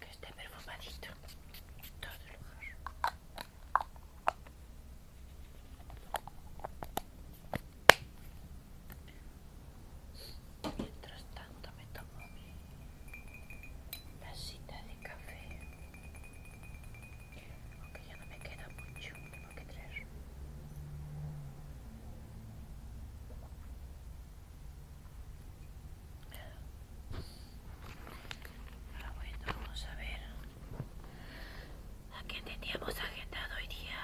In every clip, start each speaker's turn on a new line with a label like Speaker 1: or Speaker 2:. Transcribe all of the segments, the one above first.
Speaker 1: Que esté perfumadito en todo el lugar. Mientras tanto me tomo mi cita de café. Aunque ya no me queda mucho, tengo que traer. Ahora bueno, vamos a ver a qué teníamos agendado hoy día.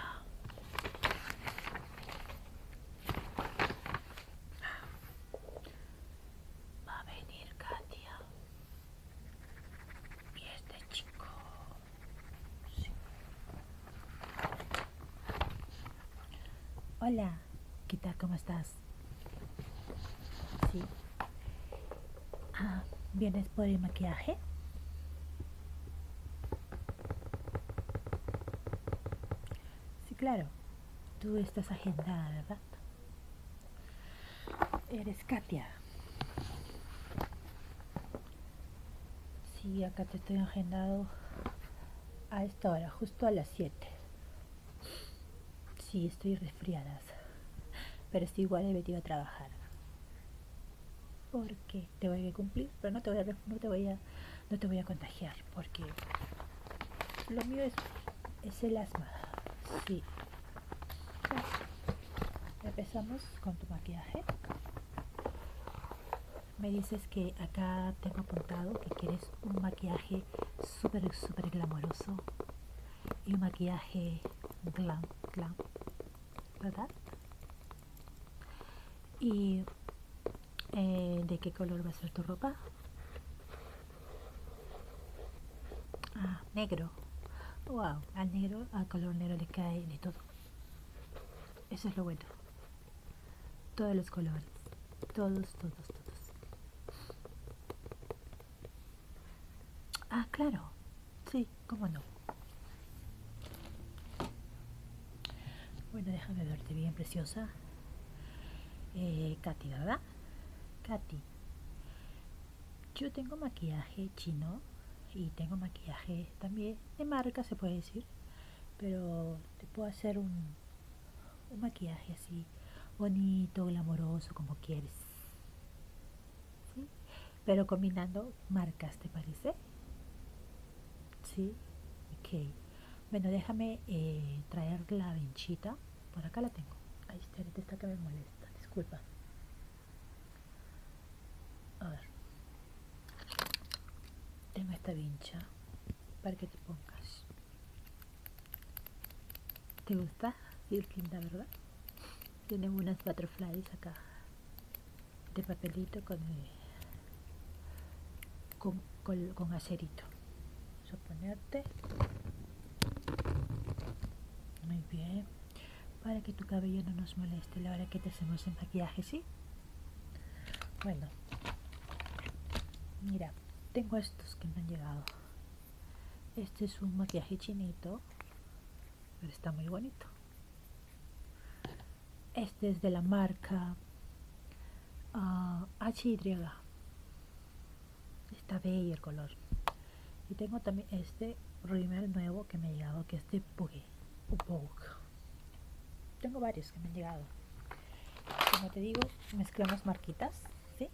Speaker 1: Va a venir Katia y este chico.
Speaker 2: Hola, ¿qué ¿Cómo estás? Sí. Ah, ¿vienes por el maquillaje? Sí, claro. Tú estás agendada, ¿verdad? Eres Katia. Sí, acá te estoy agendado a esta hora, justo a las 7. Sí, estoy resfriada, pero estoy igual he venido a trabajar. Porque te voy a cumplir, pero no te voy a, no te voy a no te voy a contagiar porque lo mío es, el asma. Sí. Empezamos con tu maquillaje. Me dices que acá tengo apuntado que quieres un maquillaje súper, súper glamoroso y un maquillaje glam, glam, ¿verdad? y eh, de qué color va a ser tu ropa ah, negro wow al negro al color negro le cae de todo eso es lo bueno todos los colores todos todos todos ah claro sí cómo no bueno, déjame verte bien, preciosa. Eh, Katy, ¿verdad? Katy, yo tengo maquillaje chino y tengo maquillaje también de marca, se puede decir, pero te puedo hacer un, un maquillaje así bonito, glamoroso, como quieres. Pero combinando marcas, ¿te parece? ¿Sí? Ok. Bueno, déjame eh, traer la vinchita. Por acá la tengo. Ahí está, está que me molesta. Disculpa. A ver. Tengo esta vincha para que te pongas. ¿Te gusta? Tiene linda, ¿verdad? tiene unas cuatro butterflies acá de papelito con, con, vamos a ponerte Muy bien. Para que tu cabello no nos moleste la hora que te hacemos el maquillaje, ¿sí? Bueno. Mira, tengo estos que me han llegado. Este es un maquillaje chinito, pero está muy bonito este es de la marca y ah, Y está bello el color y tengo también este rímel nuevo que me ha llegado que es de Boogie tengo varios que me han llegado como te digo mezclamos marquitas ¿sí?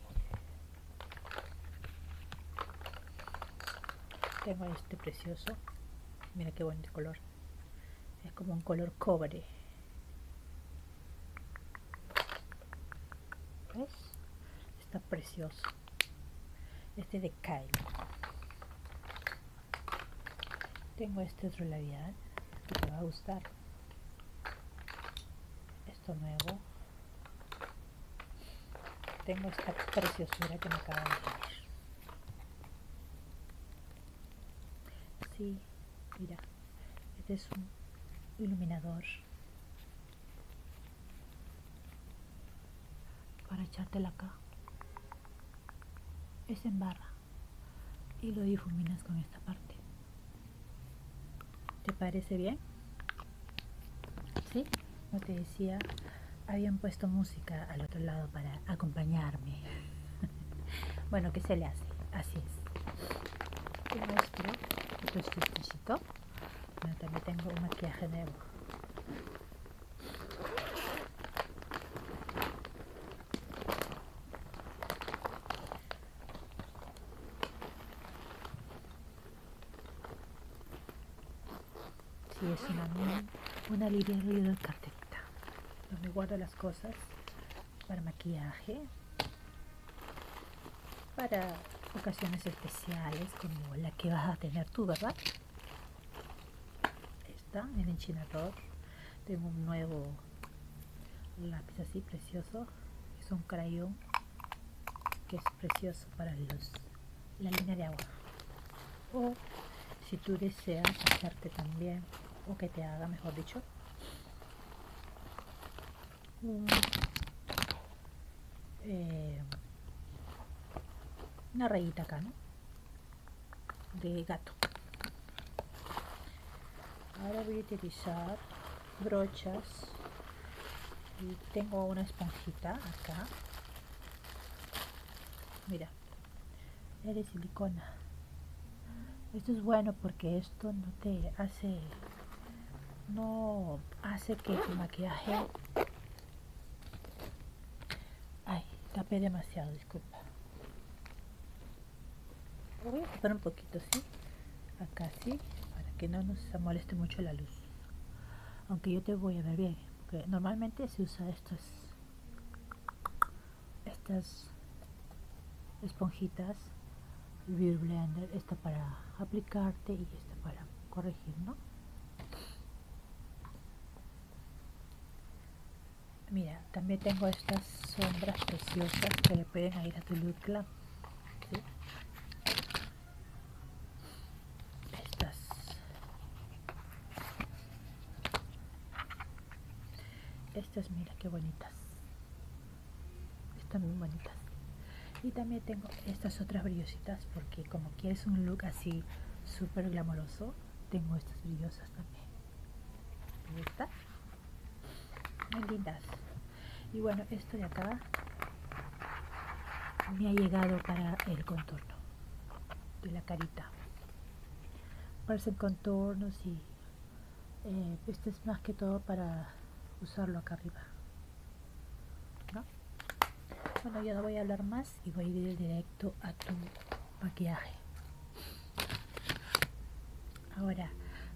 Speaker 2: tengo este precioso mira qué bonito color es como un color cobre está precioso este de Kyle tengo este otro labial que te va a gustar esto nuevo tengo esta preciosura que me acaba de dar Sí, mira, este es un iluminador para echártela acá. Es en barra y lo difuminas con esta parte. ¿Te parece bien? Sí, como te decía, habían puesto música al otro lado para acompañarme. bueno, ¿qué se le hace? Así es. Esto esto es exquisito. también tengo un maquillaje nuevo. Sí, es una, una librería de cartelita. donde guardo las cosas para maquillaje, para ocasiones especiales como la que vas a tener tú, ¿verdad? Está el enchinador. Tengo un nuevo lápiz así precioso. Es un crayon que es precioso para los, la línea de agua. O si tú deseas hacerte también, o que te haga, mejor dicho, Mm. Eh, una rayita acá, De gato. Ahora voy a utilizar brochas y tengo una esponjita acá. Mira, de silicona esto es bueno porque esto no te hace no hace que tu maquillaje ay tapé demasiado disculpa voy a tapar un poquito sí acá sí para que no nos moleste mucho la luz aunque yo te voy a ver bien porque normalmente se usa esto estas esponjitas Beauty Blender, esta para aplicarte y esta para corregir, ¿no? Mira, también tengo estas sombras preciosas que le pueden ir a tu look Estas estas mira qué bonitas están muy bonitas y también tengo estas otras brillositas porque como quieres un look así súper glamoroso tengo estas brillosas también muy lindas y bueno esto de acá me ha llegado para el contorno de la carita hacer contornos y eh, este es más que todo para usarlo acá arriba bueno ya no voy a hablar más y voy a ir directo a tu maquillaje ahora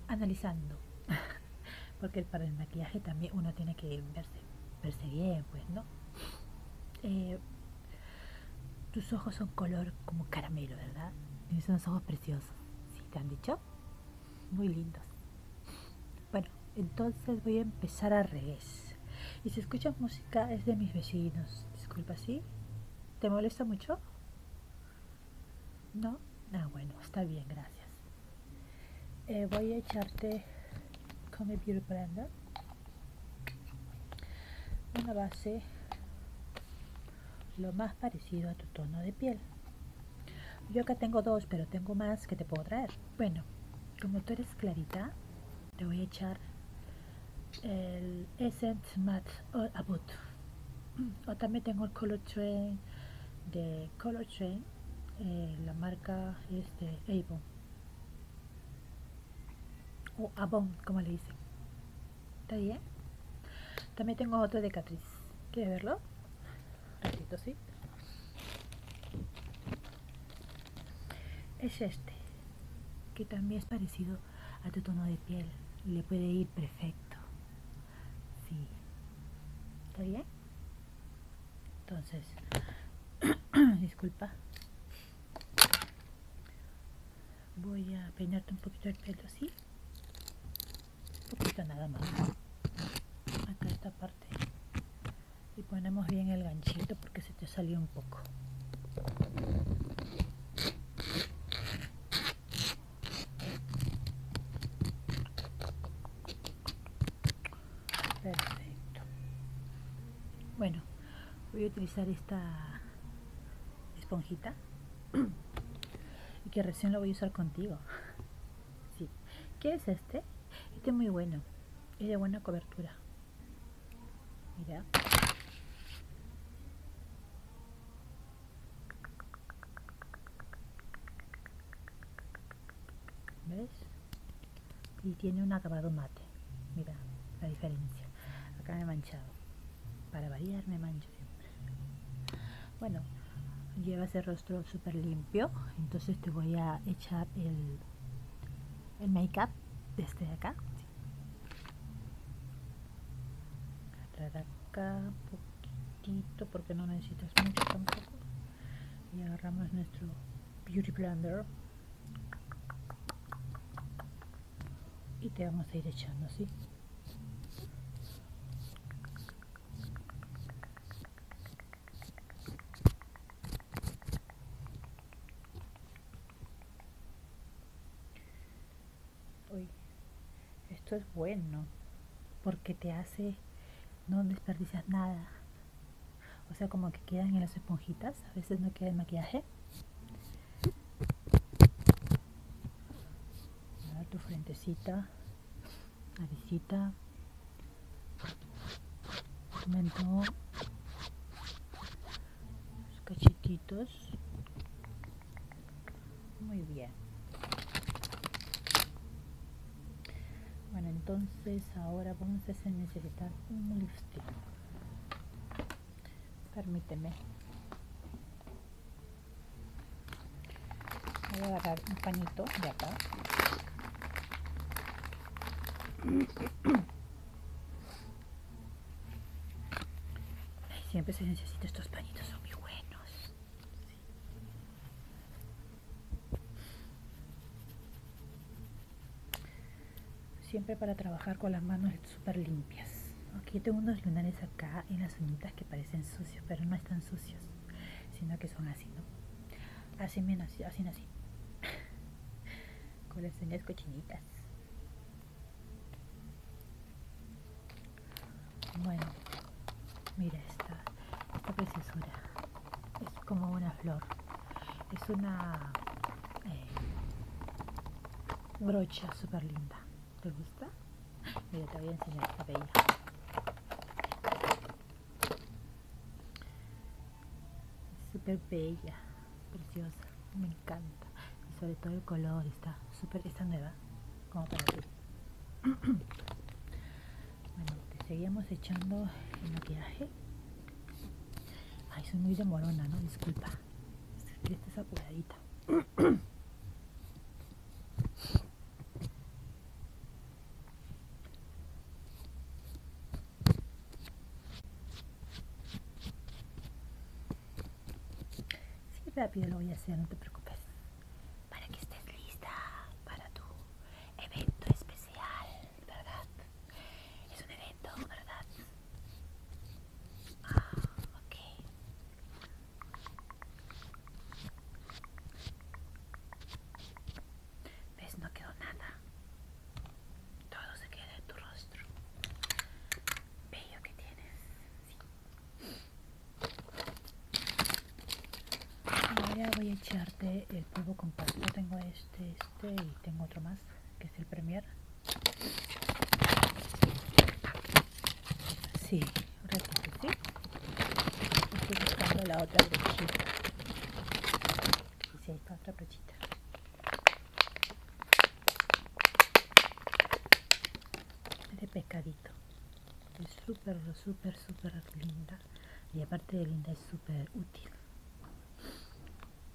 Speaker 2: analizando porque para el maquillaje también uno tiene que verse, verse bien pues no eh, tus ojos son color como caramelo verdad Son ojos preciosos ¿Si te han dicho? Muy lindos. Bueno, entonces voy a empezar a revés. Y si escuchas música es de mis vecinos. Disculpa, si ¿Te molesta mucho? ¿No? Ah, bueno, está bien, gracias. Eh, voy a echarte mi Beauty brand Una base lo más parecido a tu tono de piel. Yo acá tengo dos, pero tengo más que te puedo traer. Bueno, como tú eres clarita, te voy a echar el Essence Matte O también tengo el Color Train de Color Train. Eh, la marca es de Avon. O Avon, como le dicen. ¿Está bien? También tengo otro de Catriz. ¿Quieres verlo? ¿sí? Es este, que también es parecido a tu tono de piel. Le puede ir perfecto. Sí. ¿Está bien? Entonces, disculpa voy a peinarte un poquito el pelo así un poquito nada más acá esta parte y ponemos bien el ganchito porque se te salió un poco perfecto bueno voy a utilizar esta esponjita y que recién lo voy a usar contigo. ¿Qué es este? Este es muy bueno. Es de buena cobertura. Mira. ¿Ves? Y tiene un acabado mate. Mira la diferencia. Acá me he manchado. Para variar me bueno, llevas el rostro súper limpio, entonces te voy a echar el, el make-up desde acá. acá un poquitito porque no necesitas mucho tampoco. Y agarramos nuestro Beauty Blender. Y te vamos a ir echando así. Uy, esto es bueno porque te hace no desperdicias nada. O sea, como que quedan en las esponjitas, a veces no queda el maquillaje tu frentecita, naricita, mentón, los cachetitos. Muy bien. Bueno, entonces ahora vamos a necesitar un lifting. Permíteme voy a agarrar un pañito de acá siempre se necesita estos pañitos son muy buenos siempre para trabajar con las manos súper limpias Ok, tengo unos lunares acá en las uñitas que parecen sucios, pero no están sucios, sino que son así, ¿no? Así, menos así, así, así. Con las uñas cochinitas. Bueno, mira esta, esta preciosura. Es como una flor. Es una eh, brocha súper linda. ¿Te gusta? Mira, te voy a enseñar esta bella. Es súper bella, preciosa, me encanta. Y sobre todo el color, está súper, está nueva, como para ti. bueno, te seguíamos echando el maquillaje. Ay, soy muy demorona, ¿no? Disculpa. esta es apuradita. Sí, rápido lo voy a hacer, no te preocupes.
Speaker 1: Para que estés lista para tu evento especial, ¿verdad? Es un evento, ¿verdad? Ah, ok. ¿Ves? No quedó nada. Todo se queda en tu rostro. Bello que tienes.
Speaker 2: Sí. Ahora voy a echarte el polvo compacto. Tengo este, este y tengo otro más, que es el Premier. Sí, Ahora Estoy buscando la otra brochita. hay para otra brochita. Es de pescadito. Es súper, súper, súper linda. Y aparte de linda es súper útil.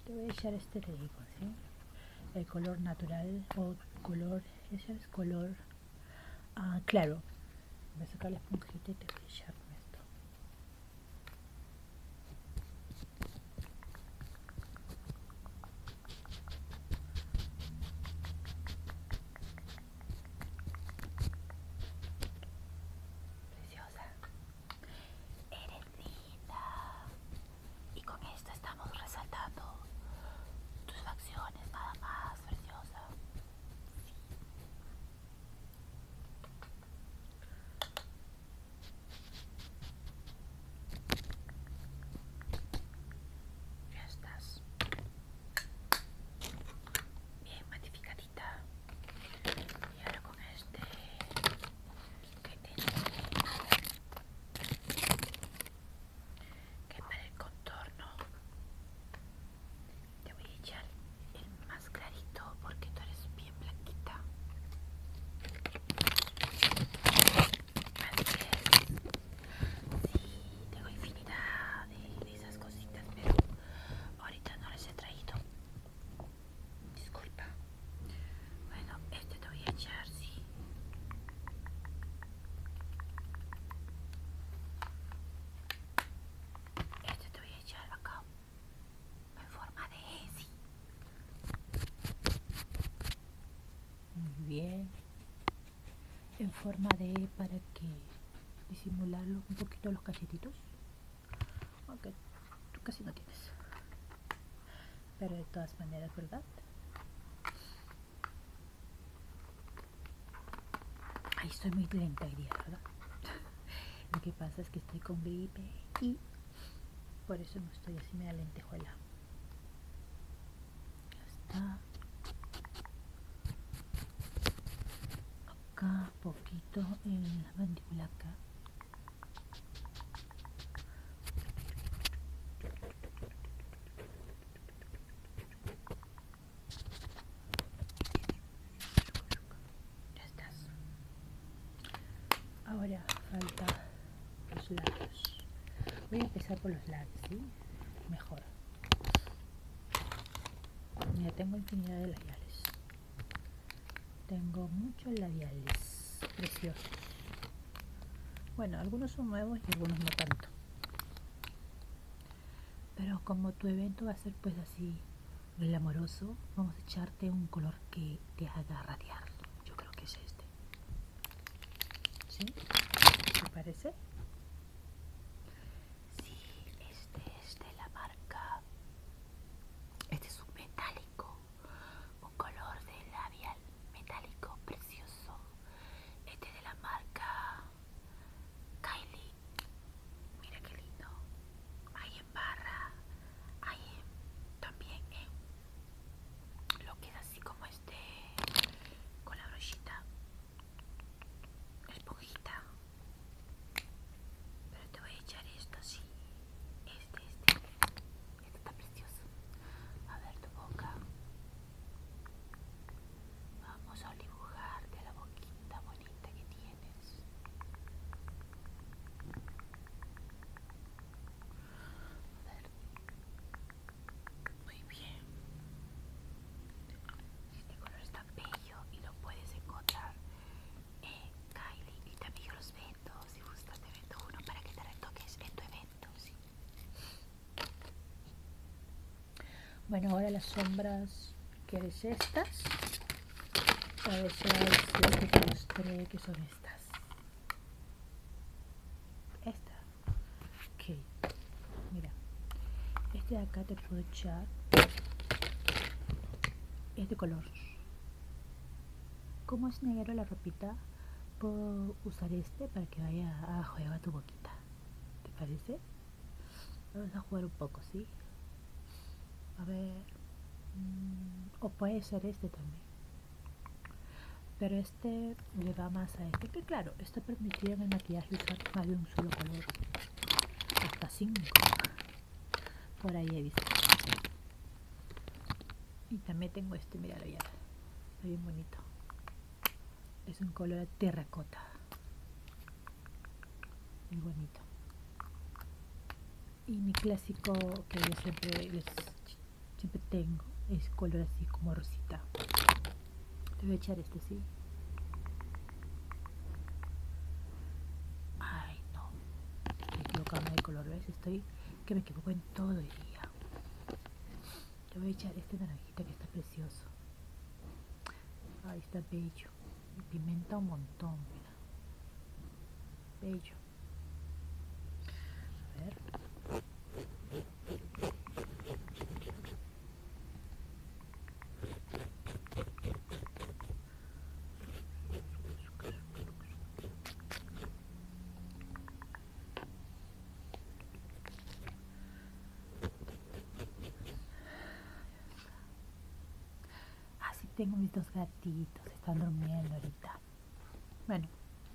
Speaker 2: Te voy a echar este te ¿sí? El color natural o color, ese es color Ah, claro. Voy a sacar la esponjita y te voy a esto.
Speaker 1: Preciosa. Eres linda. Y con esto estamos resaltando tus facciones tienes nada más, preciosa. Sí. Ya estás bien matificadita. Y ahora con este que tiene que para el contorno te voy a echar el más clarito porque tú eres bien blanquita tengo infinidad de, esas cositas pero ahorita no les he traído disculpa bueno este te voy a echar sí esto
Speaker 2: te voy a echar acá en forma de sí, Muy bien. En forma de E para que disimularlo un poquito los cachetitos. Aunque tú casi no tienes. Pero de todas maneras, ¿verdad? ahí estoy muy lenta y ¿verdad? Lo que pasa es que estoy con gripe y por eso no estoy así me da lentejuela. Ya está. Acá, poquito en la mandíbula acá. Ya Ahora falta los labios. Voy a empezar por los labios, Mejor. Ya tengo infinidad de labiales. Tengo muchos labiales preciosos. Bueno, algunos son nuevos y algunos no tanto. Pero como tu evento va a ser pues así glamoroso, vamos a echarte un color que te haga radiar. Yo creo que es este. ¿Sí? ¿Te parece? Sí, este
Speaker 1: es de la marca. Este es un metálico, un color de labial metálico precioso. Este es de la marca Kylie, mira qué lindo. Hay en barra, hay en, también lo queda así como este, con la brochita, esponjita. Pero te voy a echar esto así. Este, este. Este está precioso. A ver tu boca. Vamos a dibujarte la boquita bonita que tienes. A ver. Muy bien. Este color está bello y lo puedes encontrar en Kylie. Y también yo los eventos, Si gustas, te vendo uno para que te retoques en tu evento. ¿sí?
Speaker 2: Bueno, ahora las sombras, es estas? A ver si te mostré que son estas. Esta. Ok. Mira. Este de acá te puedo echar. Este color. ¿cómo es negro la ropita, puedo usar este para que vaya a joder a tu boquita. ¿Te parece? Vamos a jugar un poco, ¿sí? A ver... Mm, o puede ser este también. Pero este le va más a este. Que claro, esto permitiría en el maquillaje usar más de un solo color. Hasta 5. Por ahí he visto. Y también tengo este, lo ya. Está bien bonito es un color terracota muy bonito y mi clásico que yo siempre siempre tengo es color así como rosita te voy a echar este sí ay no estoy equivocando de color ves estoy que me equivoco en todo el día te voy a echar este naranjita que está precioso Ahí está bello. Pimenta un montón, mira. Bello. A ver. Así tengo mis dos gatitos, están durmiendo ahorita. Bueno,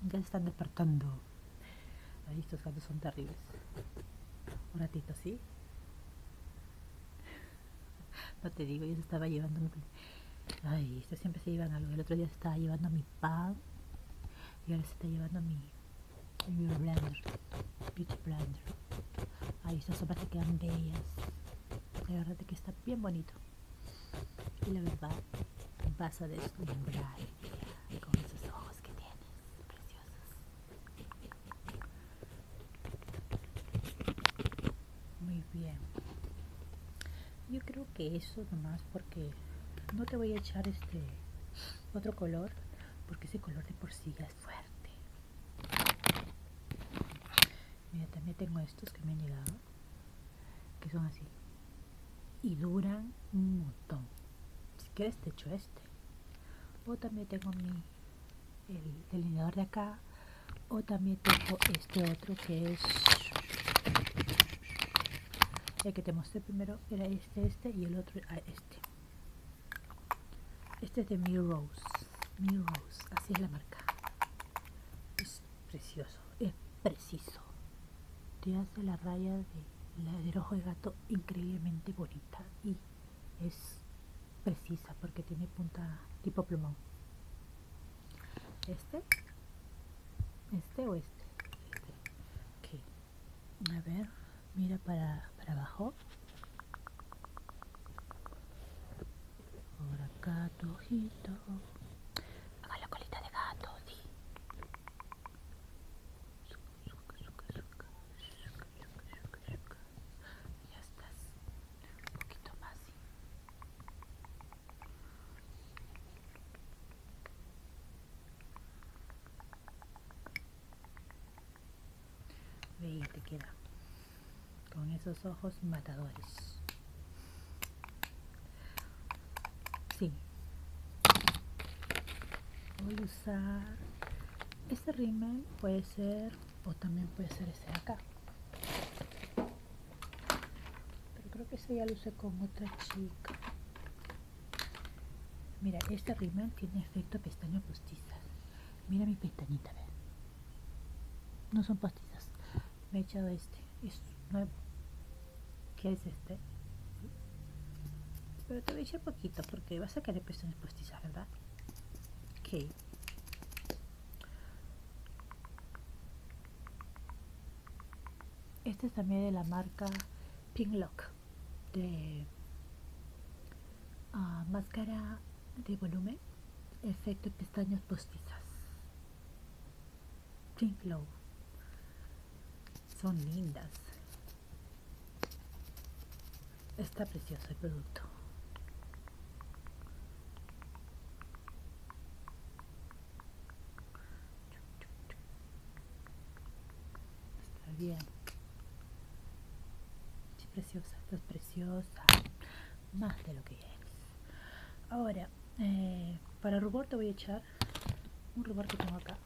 Speaker 2: ya se están despertando. Ay, estos gatos son terribles. Un ratito, ¿sí? No te digo, yo estaba llevando mi... Ay, estos siempre se llevan algo. El otro día se estaba llevando mi pan y ahora se está llevando mi, el Beauty Blender. Beauty Blender. Ahí estas sopas que quedan bellas. La verdad que está bien bonito. Y la verdad, vas a deslumbrar con esos ojos que tienes, preciosos. Muy bien. Yo creo que eso nomás porque no te voy a echar este otro color porque ese color de por sí fuerte. Mira, también tengo estos que me han llegado, que son así. Y duran un montón. Si quieres te echo este. O también tengo mi el delineador de acá. O también tengo este otro que es el que te mostré primero era este, este y el otro este este es de Mirrose. Rose así es la marca. Es precioso, es preciso. Te hace la raya de la del ojo de gato increíblemente bonita y es precisa porque tiene punta tipo plumón. Este, este o este, este. A ver, mira para, para abajo. Por acá tu ojito.
Speaker 1: Haga la colita de gato, Ya estás un poquito más. ¿sí?
Speaker 2: Veía te queda con esos ojos matadores. Sí. Voy a usar este rímel, puede ser o también puede ser este de acá. Pero creo que ese ya lo usé con otra chica. Mira, este rímel tiene efecto pestaña postiza. Mira mi pestañita, No son pastillas. Me he echado este. Es nuevo. que es este? Pero te voy a echar poquito porque vas a querer pestañas postizas, ¿verdad? Ok. Este es también de la marca Pink Lock de ah, máscara de volumen, efecto pestañas postizas. Pink Glow. Son lindas. Está precioso el producto. Está bien. Sí, preciosa, estás preciosa. Más de lo que es. Ahora, para eh, para rubor te voy a echar un rubor que tengo acá.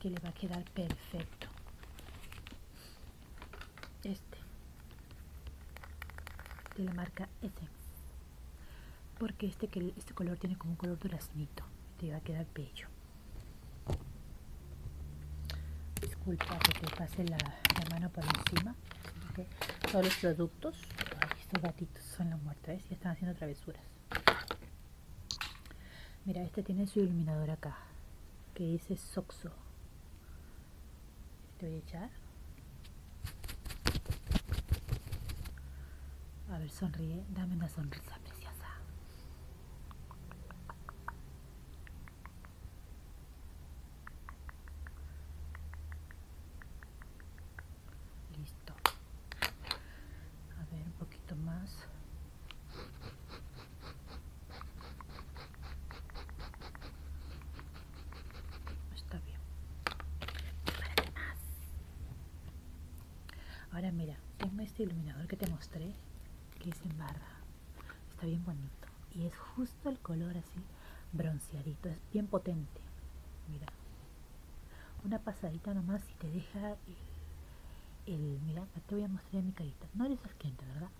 Speaker 2: Que le va a quedar perfecto. Este. De la marca este Porque este, que este color tiene como un color duraznito. Te va a quedar bello. Disculpa que te pase la, mano por encima. Todos los productos. estos gatitos son los muertos. y están haciendo travesuras. Mira, este tiene su iluminador acá. Que dice Soxo. Te voy a echar. A ver, sonríe. Dame una sonrisa preciosa. Listo. A ver, un poquito más. Está bien. Ahora mira, es este iluminador que te mostré, que es en Está bien bonito. Y es justo el color así bronceadito. Es bien potente. Mira. Una pasadita nomás y te deja el... mira, te voy a mostrar mi carita. No eres asquiente, ¿verdad?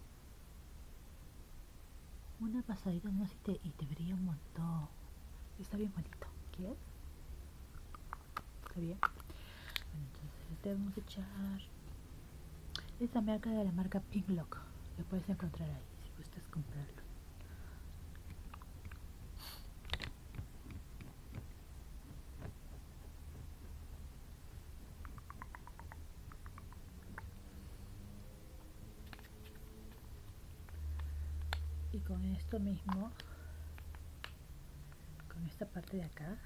Speaker 2: Una pasadita nomás y te, y te brilla un montón. Está bien bonito. ¿Quieres? Está bien. Bueno, entonces le debemos echar esta marca de la marca Pink Lock. Lo puedes encontrar ahí si gustas comprarlo. Y con esto mismo, con esta parte de acá,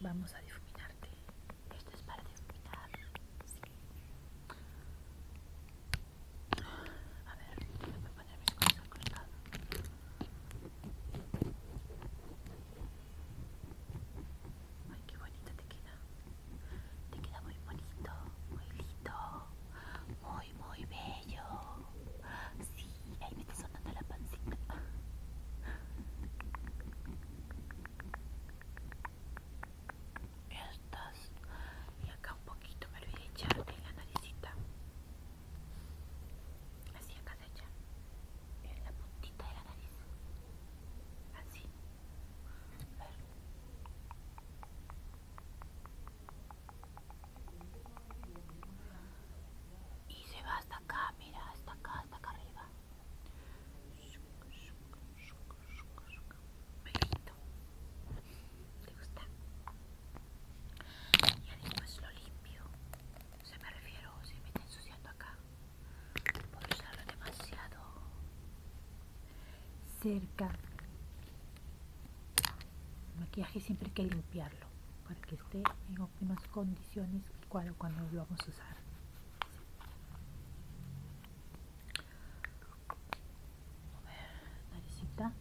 Speaker 2: Vamos a difuminarte.
Speaker 1: Esto es para difuminar. A ver, voy a poner mis cosas costado. Ay, qué bonita te queda. Te queda muy bonito, muy lindo, muy muy, bello. si, ahí me está sonando la pancita. Estas. Y acá un poquito me lo voy a echar en la naricita. Así acá se echa. En la puntita de la nariz. Así. Y se va hasta acá, mira, hasta acá, hasta acá arriba. me quito ¿Te gusta? y además lo limpio. se me refiero, se me está ensuciando acá. Por usarlo demasiado
Speaker 2: cerca. El maquillaje siempre hay que limpiar para que esté en óptimas condiciones cuando, cuando lo vamos a usar. A ver, naricita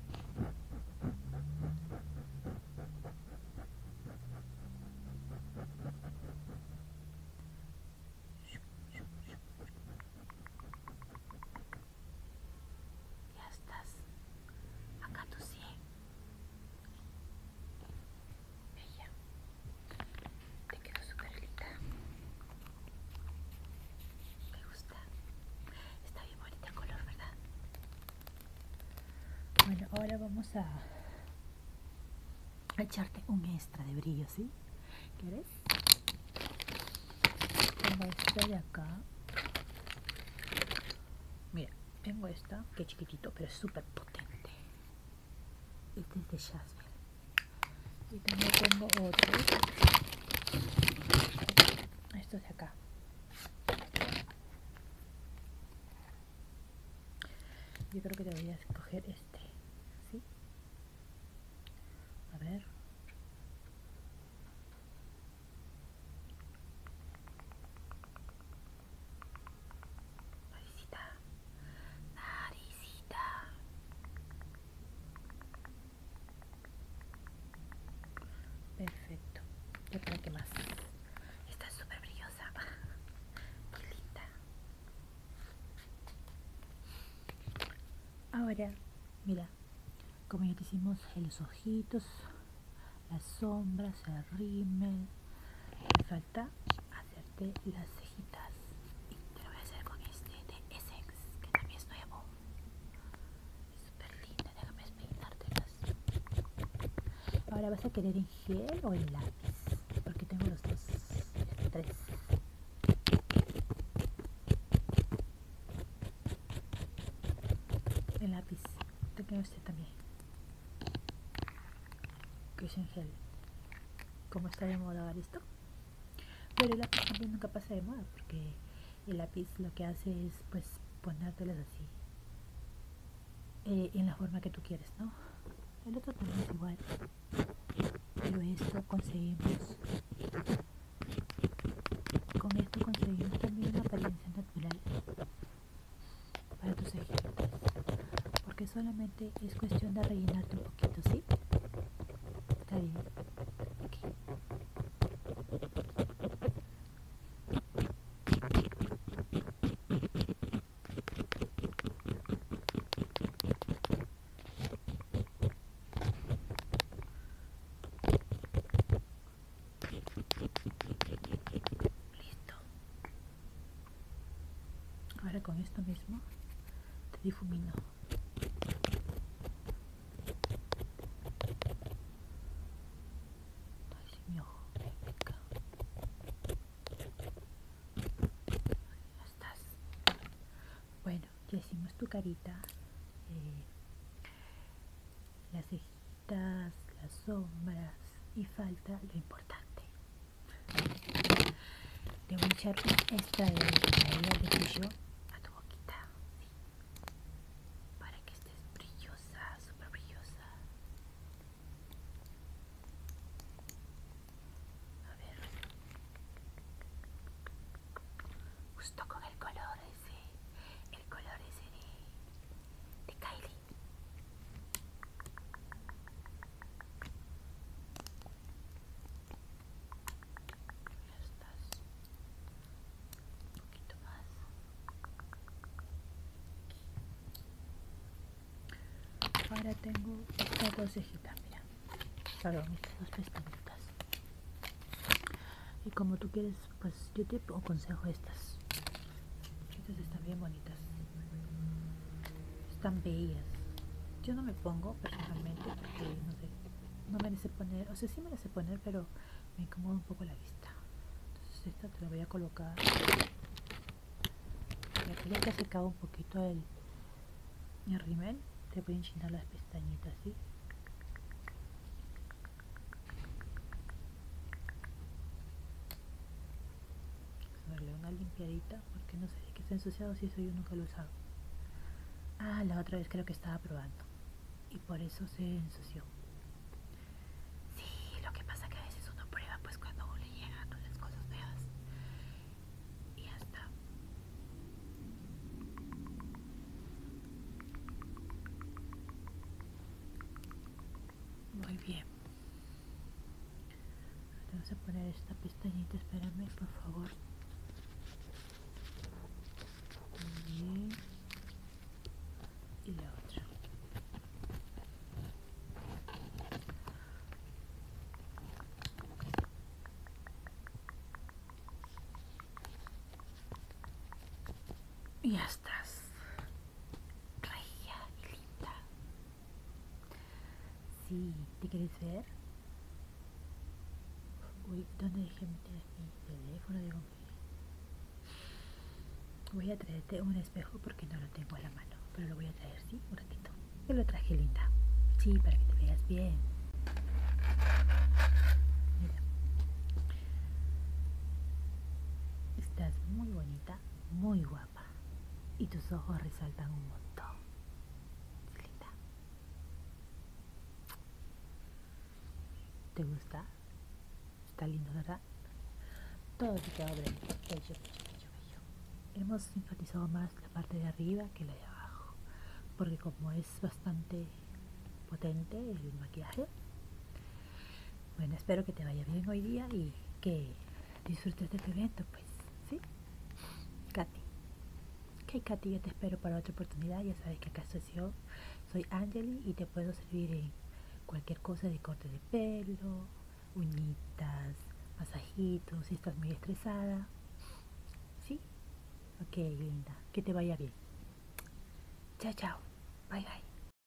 Speaker 1: ya estás acá tu 100 bella te quedó super linda me gusta está bien bonita el color verdad
Speaker 2: bueno ahora vamos a echarte un extra de brillo ¿sí? ¿quieres? vamos echar de acá mira tengo esta, que chiquitito, pero es súper potente. Este es de Jasmine. Y también tengo otro. Esto es de acá. Yo creo que debería escoger este. ¿Sí? A ver naricita, naricita, perfecto. ¿Qué más está súper brillosa, muy linda. Ahora, mira, como ya te hicimos los ojitos las sombras el rímel falta hacerte las cejitas y te lo voy a hacer con este de Essex que también es nuevo es súper linda déjame las ahora vas a querer en gel o en lápiz porque tengo los dos los tres el lápiz te usted también. Que es en gel. Como está de moda esto. Pero el lápiz también nunca pasa de moda porque el lápiz lo que hace es pues ponértelas así. Eh, en la forma que tú quieres, ¿no? El otro también es igual. Pero esto conseguimos. Con esto conseguimos también una apariencia natural para tus ejemplos porque solamente es cuestión de rellenarte un poquito sí está bien Listo. Ahora con esto mismo te difumino. Ay, mi ojo Ya estás. Bueno, ya hicimos tu carita. Eh, la las sombras y falta lo importante. Le voy a echar esta de la a tu boquita, para que estés brillosa, súper brillosa.
Speaker 1: A ver, justo con el color ese, el color ese de, de Kylie
Speaker 2: ahora tengo estas dos cejitas mira perdón estas dos pestañitas y como tú quieres pues yo te aconsejo estas. Estas están bien bonitas. Están bellas. Yo no me pongo personalmente porque no sé, no me poner, o sea, sí me poner, pero me incomoda un poco la vista. Entonces esta te la voy a colocar. ya que ya que ha secado un poquito el, el rimel, te voy a enchinar las pestañitas, ¿sí? a darle una limpiadita porque no sé si está ensuciado si eso yo nunca lo he usado ah la otra vez creo que estaba probando y por eso se ensució
Speaker 1: sí lo que pasa que a veces uno prueba pues cuando uno le llegan las cosas nuevas y ya está
Speaker 2: muy bien. Vamos a poner esta pestañita, espérame, por favor. Y la otra.
Speaker 1: Y ya estás.
Speaker 2: Si y linda. Sí, ¿te querés ver? Uy, ¿dónde dejé mi, teléfono? de Digo, voy a traerte un espejo porque no lo tengo en la mano, pero lo voy a traer, ¿sí? Un ratito. Yo lo traje linda. Sí, para que te veas bien. Mira. Estás muy bonita muy guapa y tus ojos resaltan un montón. linda. ¿Te gusta? Está lindo, ¿verdad? Todo te bello, bello, bello, Hemos enfatizado más la parte de arriba que la de abajo, porque como es bastante potente el maquillaje, bueno, espero que te vaya bien hoy día y que disfrutes de este evento, pues, ¿sí? Katy. que Katy, yo te espero para otra oportunidad. Ya sabes que acá soy yo, soy Angeli y te puedo servir en cualquier cosa de corte de pelo, uñitas, masajitos, si estás muy estresada. ¿Sí? Ok, linda. Que te vaya bien.
Speaker 1: Chao, chao. Bye, bye.